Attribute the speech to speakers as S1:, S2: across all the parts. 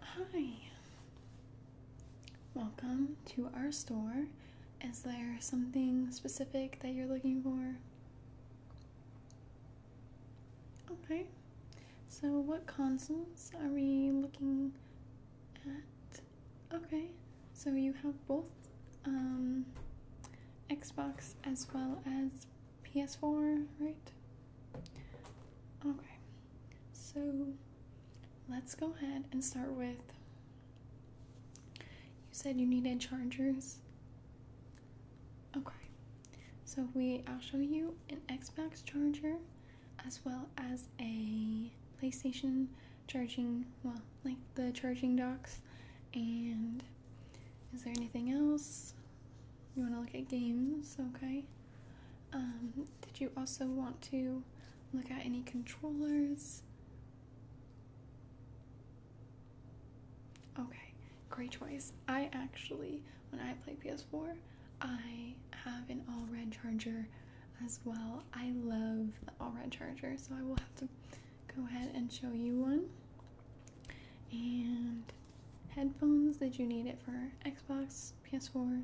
S1: Hi, welcome to our store. Is there something specific that you're looking for? Okay, so what consoles are we looking at? Okay, so you have both um, Xbox as well as PS4, right? Okay, so let's go ahead and start with. You said you needed chargers. Okay, so we I'll show you an Xbox charger as well as a PlayStation charging, well, like the charging docks. And is there anything else? You want to look at games, okay? Um, did you also want to look at any controllers? Okay, great choice. I actually, when I play PS4, I have an all red charger as well. I love the all red charger, so I will have to go ahead and show you one. And headphones, did you need it for Xbox, PS4?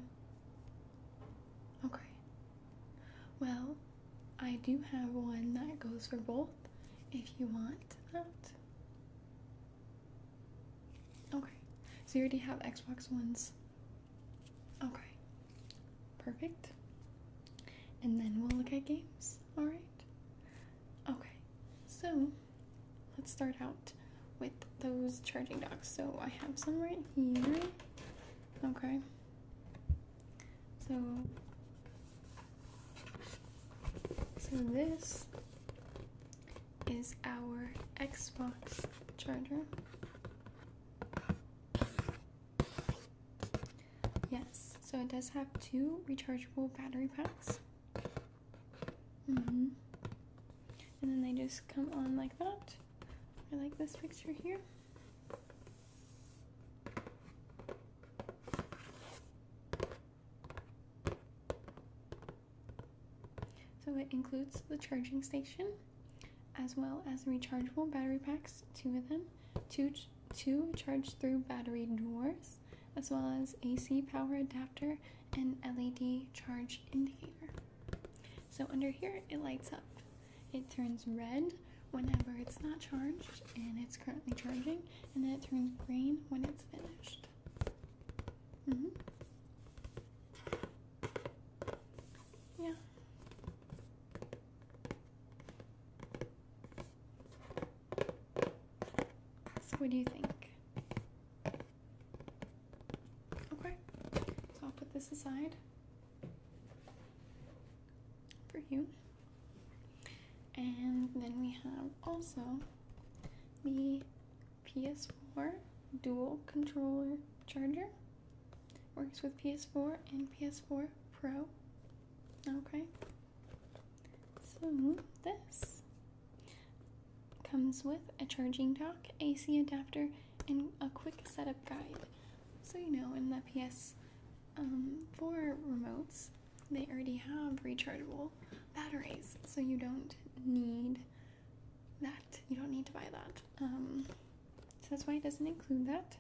S1: Okay. Well, I do have one that goes for both if you want that. Okay, so you already have Xbox ones Okay. Perfect. And then we'll look at games. All right. Okay. So, let's start out with those charging docks. So, I have some right here. Okay. So So this is our Xbox charger. Yes, so it does have two rechargeable battery packs. hmm And then they just come on like that. I like this picture here. So it includes the charging station as well as rechargeable battery packs, two of them, two, two charge through battery doors, as well as AC power adapter and LED charge indicator. So under here, it lights up. It turns red whenever it's not charged and it's currently charging, and then it turns green when it's finished. Mm-hmm. Yeah, so, what do you think? Okay, so I'll put this aside for you. And then we have also the PS4 dual controller charger. Works with PS4 and PS4 Pro. Okay. So this comes with a charging dock, AC adapter, and a quick setup guide. So you know, in the PS4 um, remotes, they already have rechargeable batteries, so you don't need that. You don't need to buy that. Um, so that's why it doesn't include that.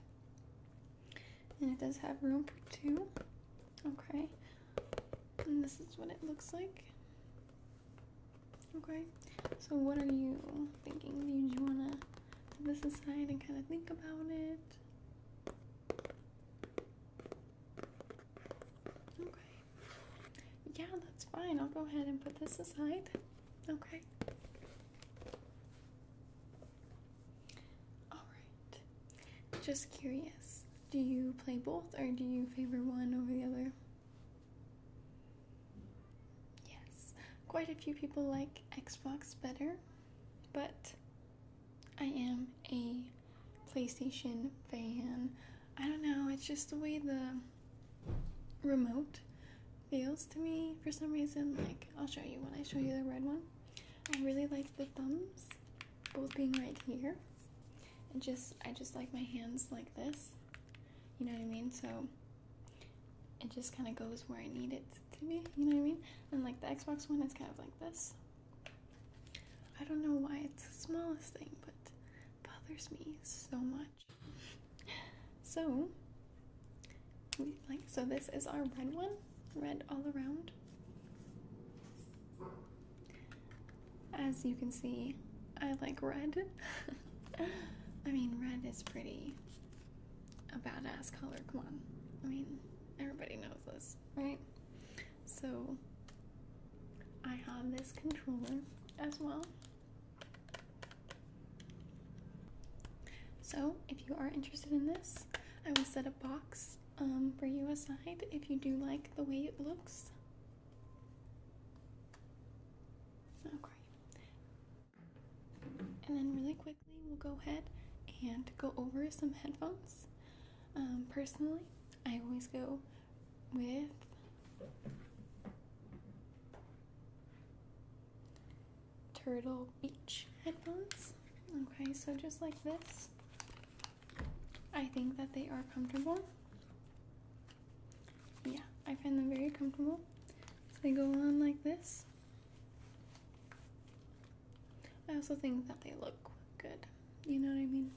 S1: And it does have room for two. Okay. And this is what it looks like. Okay. So what are you thinking? Do you wanna put this aside and kinda think about it? Okay. Yeah, that's fine. I'll go ahead and put this aside. Okay. Alright. Just curious, do you play both or do you favor one over the other? Yes. Quite a few people like Xbox better, but I am a PlayStation fan. I don't know, it's just the way the remote feels to me for some reason. Like, I'll show you when I show you the red one. I really like the thumbs both being right here. And just, I just like my hands like this. You know what I mean? So it just kind of goes where I need it to be. You know what I mean? And like the Xbox one, it's kind of like this. I don't know why it's the smallest thing, but bothers me so much. So, we like so. This is our red one, red all around. As you can see, I like red. I mean, red is pretty a badass color. Come on, I mean, everybody knows this, right? So, I have this controller as well. So, if you are interested in this, I will set a box um, for you aside if you do like the way it looks. Okay. And then, really quickly, we'll go ahead and go over some headphones. Um, personally, I always go with Turtle Beach headphones. Okay, so just like this. I think that they are comfortable. Yeah, I find them very comfortable. they go on like this. I also think that they look good. You know what I mean?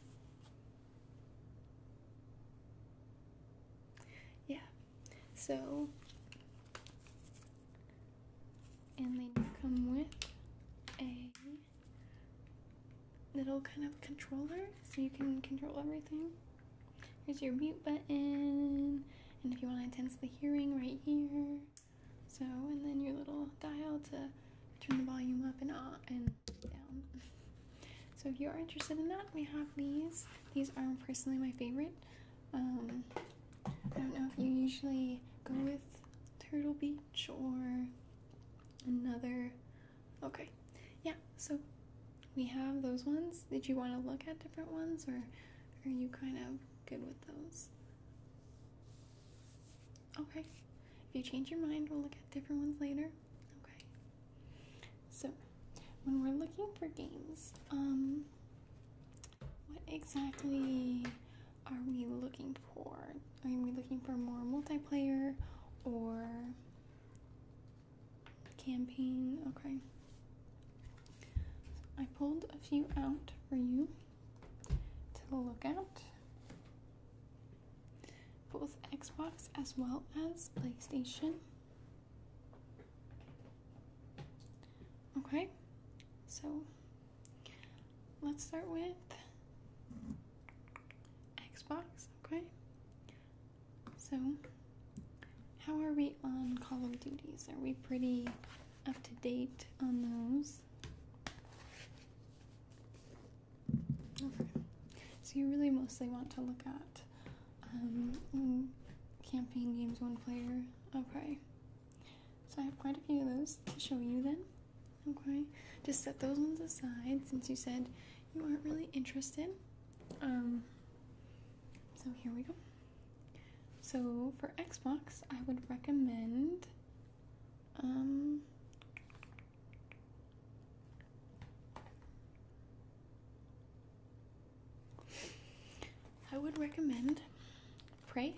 S1: Yeah, so, and they come with a little kind of controller so you can control everything. Here's your mute button, and if you want to intensify hearing, right here. So, and then your little dial to turn the volume up and, off and down. So if you are interested in that, we have these. These are personally my favorite. Um, I don't know if you usually go with Turtle Beach or another. Okay, yeah, so we have those ones. Did you want to look at different ones or are you kind of good with those? Okay, if you change your mind, we'll look at different ones later. Okay, so when we're looking for games, um, what exactly are we looking for? Are we looking for more multiplayer or campaign? Okay. I pulled a few out for you to look at. Both Xbox as well as PlayStation. Okay, so let's start with Xbox, okay? So, how are we on Call of Duties? Are we pretty up to date on those? Okay, so you really mostly want to look at um, mm, campaign games one player. Okay. So I have quite a few of those to show you then. Okay. Just set those ones aside since you said you aren't really interested. Um, so here we go. So for Xbox, I would recommend um, I would recommend pray.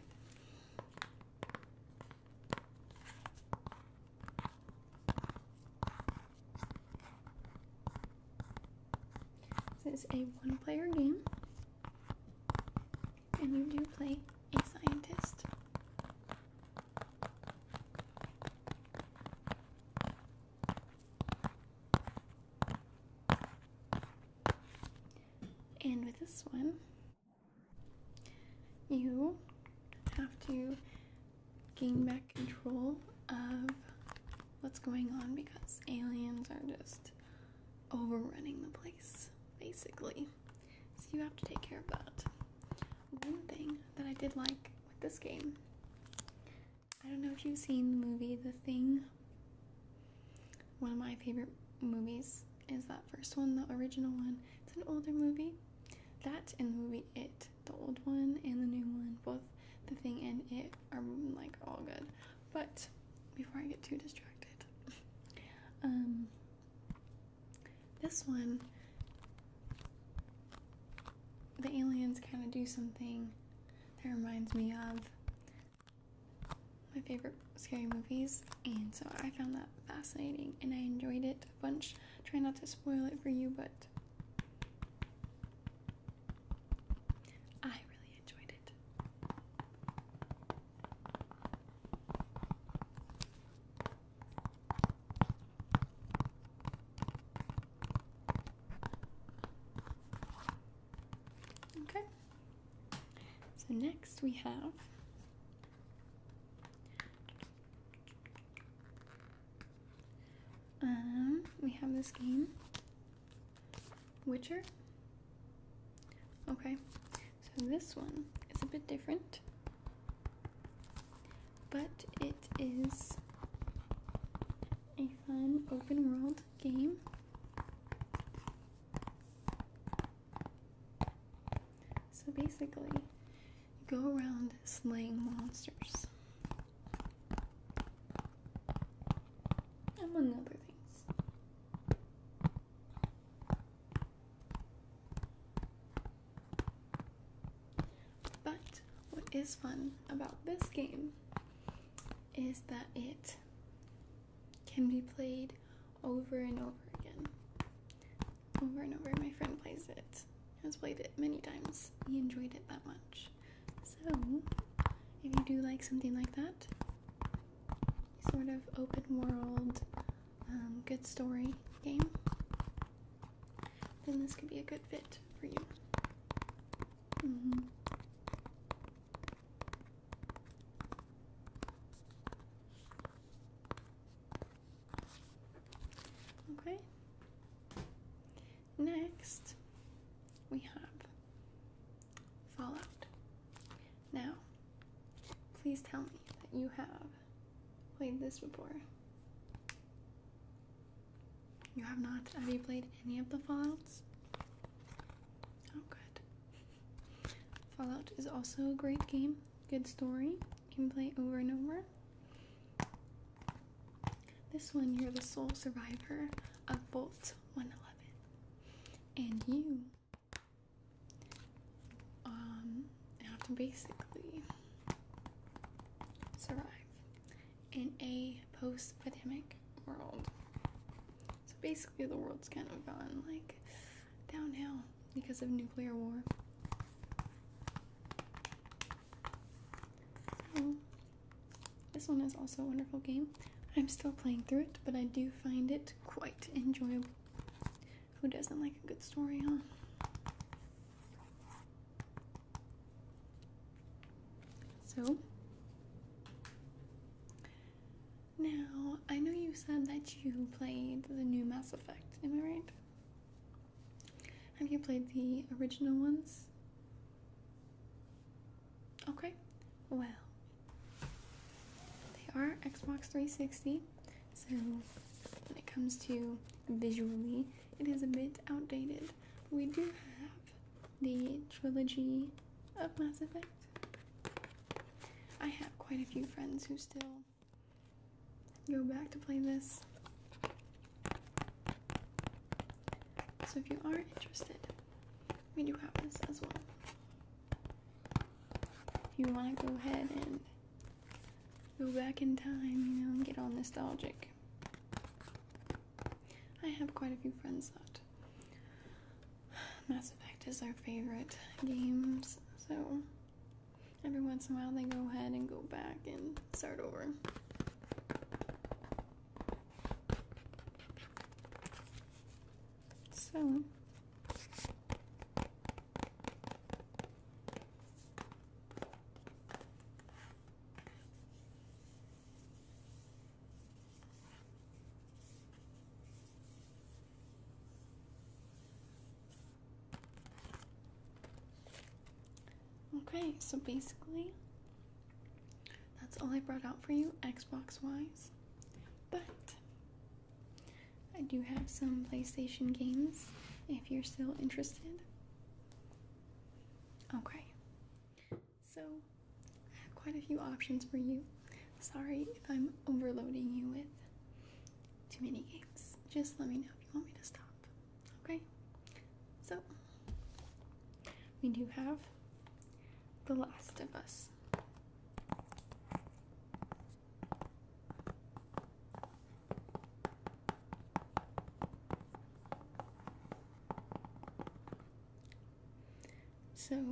S1: This is a one player game, and you do play a scientist. And with this one, you have to gain back control of what's going on because aliens are just overrunning the place, basically. So you have to take care of that. One thing that I did like with this game I don't know if you've seen the movie The Thing. One of my favorite movies is that first one, the original one. It's an older movie. That and the movie It, the old one and the new one, both The Thing and It are like all good. But before I get too distracted, um, this one, the aliens kind of do something that reminds me of my favorite scary movies, and so I found that fascinating and I enjoyed it a bunch. Try not to spoil it for you, but I really enjoyed it. Okay. So next we have um we have this game Witcher. Okay. So this one is a bit different. But it is a fun open world game. So basically, you go around slaying monsters. Among other things. But what is fun about this game is that it can be played over and over again. Over and over. My friend plays it. Has played it many times. He enjoyed it that much. So, if you do like something like that, sort of open world, um, good story game, then this could be a good fit for you. Mm-hmm. Okay. Next, we have Fallout. Now, please tell me that you have played this before. You have not? Have you played any of the Fallouts? Oh, good. Fallout is also a great game. Good story. You can play over and over. This one, you're the sole survivor of Bolt 111. And you um, have to basically survive in a post pandemic world. So basically, the world's kind of gone like downhill because of nuclear war. this one is also a wonderful game. I'm still playing through it, but I do find it quite enjoyable. Who doesn't like a good story, huh? So, now, I know you said that you played the new Mass Effect, am I right? Have you played the original ones? Okay, well, they are Xbox 360, so when it comes to visually, it is a bit outdated. We do have the trilogy of Mass Effect, I have quite a few friends who still go back to play this. So if you are interested, we do have this as well. If you want to go ahead and go back in time, you know, and get all nostalgic. I have quite a few friends that Mass Effect is our favorite games, so every once in a while they go ahead and go back and start over. So, Okay, so basically, that's all I brought out for you Xbox wise. But I do have some PlayStation games if you're still interested. Okay. So, I have quite a few options for you. Sorry if I'm overloading you with too many games. Just let me know if you want me to stop. Okay? So, we do have The Last of Us. So,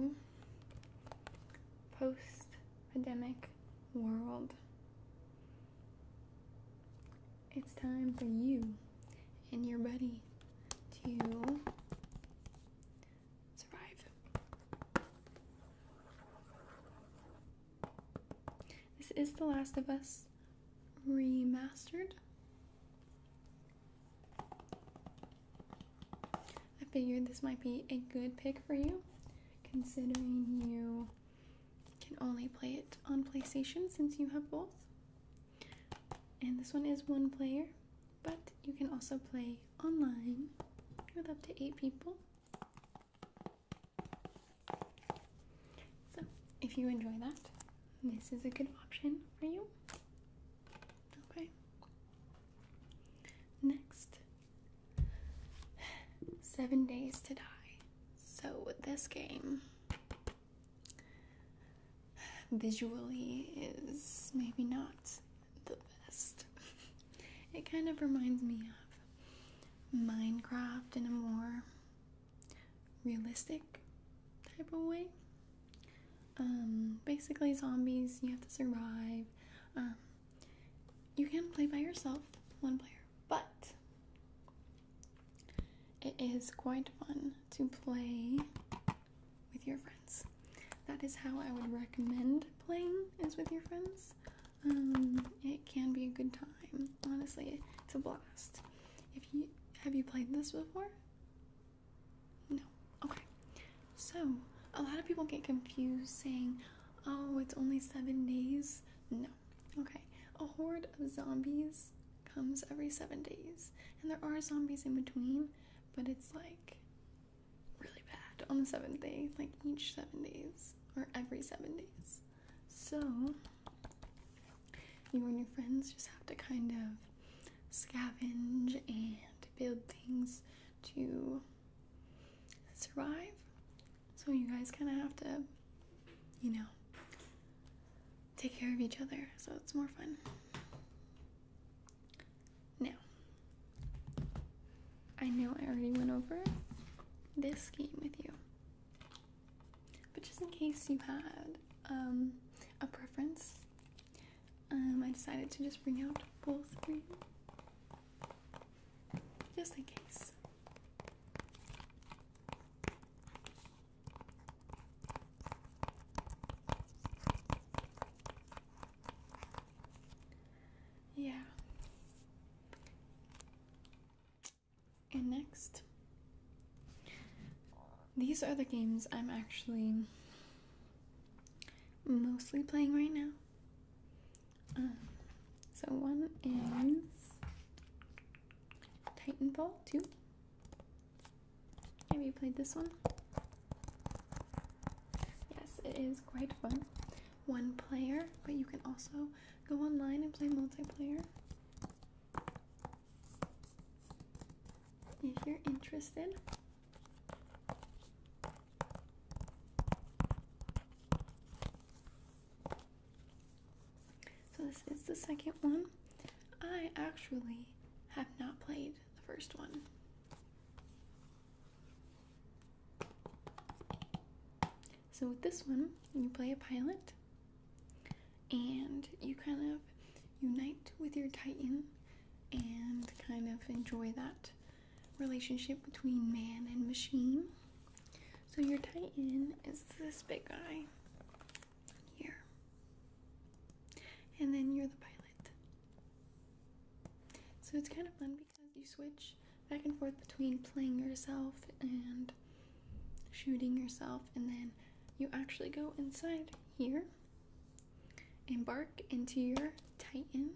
S1: post pandemic world. It's time for you and your buddy to survive. This is The Last of Us Remastered. I figured this might be a good pick for you, considering you can only play it on PlayStation since you have both. And this one is one player, but you can also play online with up to eight people. So, if you enjoy that, this is a good option for you. Okay. Next, Seven Days to Die. So, this game, visually is maybe not the best. It kind of reminds me of Minecraft in a more realistic type of way. Um, basically, zombies, you have to survive. Um, you can play by yourself, one player, but it is quite fun to play with your friends. That is how I would recommend playing, is with your friends. Um, it can be a good time. Honestly, it's a blast. If you have you played this before? No. Okay. So, a lot of people get confused saying, oh, it's only seven days. No. Okay. A horde of zombies comes every seven days. And there are zombies in between, but it's like really bad on the seventh day, like each seven days or every seven days. So, you and your friends just have to kind of scavenge and build things to survive. So you guys kind of have to, you know, take care of each other. So it's more fun. Now, I know I already went over this game with you. But just in case you had um, a preference, um, I decided to just bring out both for just in case. Yeah. And next, these are the games I'm actually mostly playing right now. Um, so one is Titanfall 2. Have you played this one? Yes, it is quite fun. One player, but you can also go online and play multiplayer. If you're interested, so, this is the second one. I actually have not played the first one. So, with this one, you play a pilot and you kind of unite with your titan and kind of enjoy that relationship between man and machine. So your Titan is this big guy here. And then you're the pilot. So it's kind of fun because you switch back and forth between playing yourself and shooting yourself and then you actually go inside here embark into your titan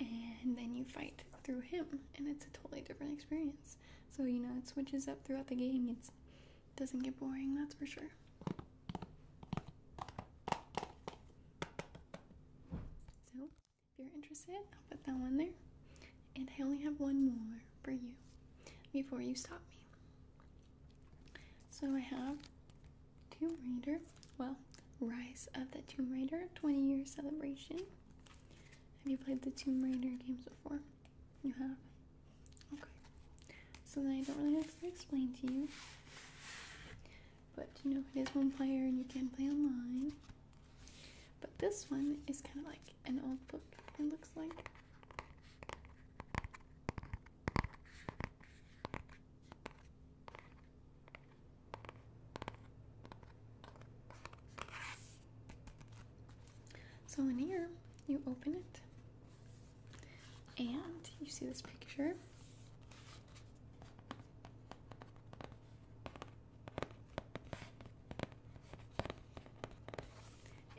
S1: and then you fight through him and it's a totally different experience so you know it switches up throughout the game it doesn't get boring that's for sure so if you're interested i'll put that one there and i only have one more for you before you stop me so i have Tomb Raider. Well, Rise of the Tomb Raider 20 year celebration. Have you played the Tomb Raider games before? You have? Okay. So then I don't really have to explain to you. But you know, it is one player and you can play online. But this one is kind of like an old book, it looks like. So in here, you open it and you see this picture.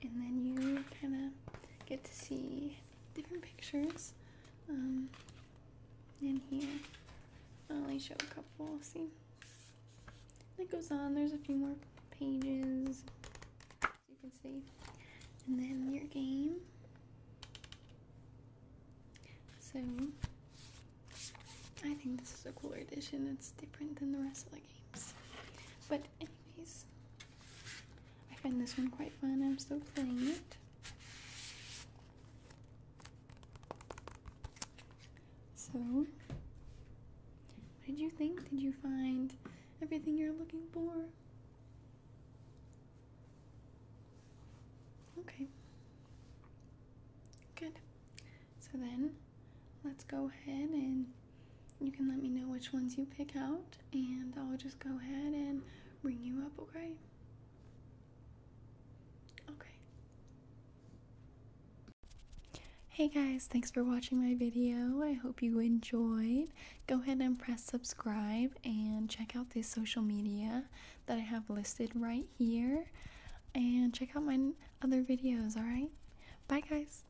S1: And then you kind of get to see different pictures um, in here. I'll only show a couple, see? That goes on, there's a few more pages, you can see. And then your game. So, I think this is a cooler edition. It's different than the rest of the games. But anyways, I find this one quite fun. I'm still playing it. So, what did you think? Did you find everything you're looking for? Okay. Good. So then, let's go ahead and you can let me know which ones you pick out, and I'll just go ahead and bring you up, okay? Okay. Hey guys, thanks for watching my video. I hope you enjoyed. Go ahead and press subscribe and check out the social media that I have listed right here. And check out my other videos, alright? Bye guys!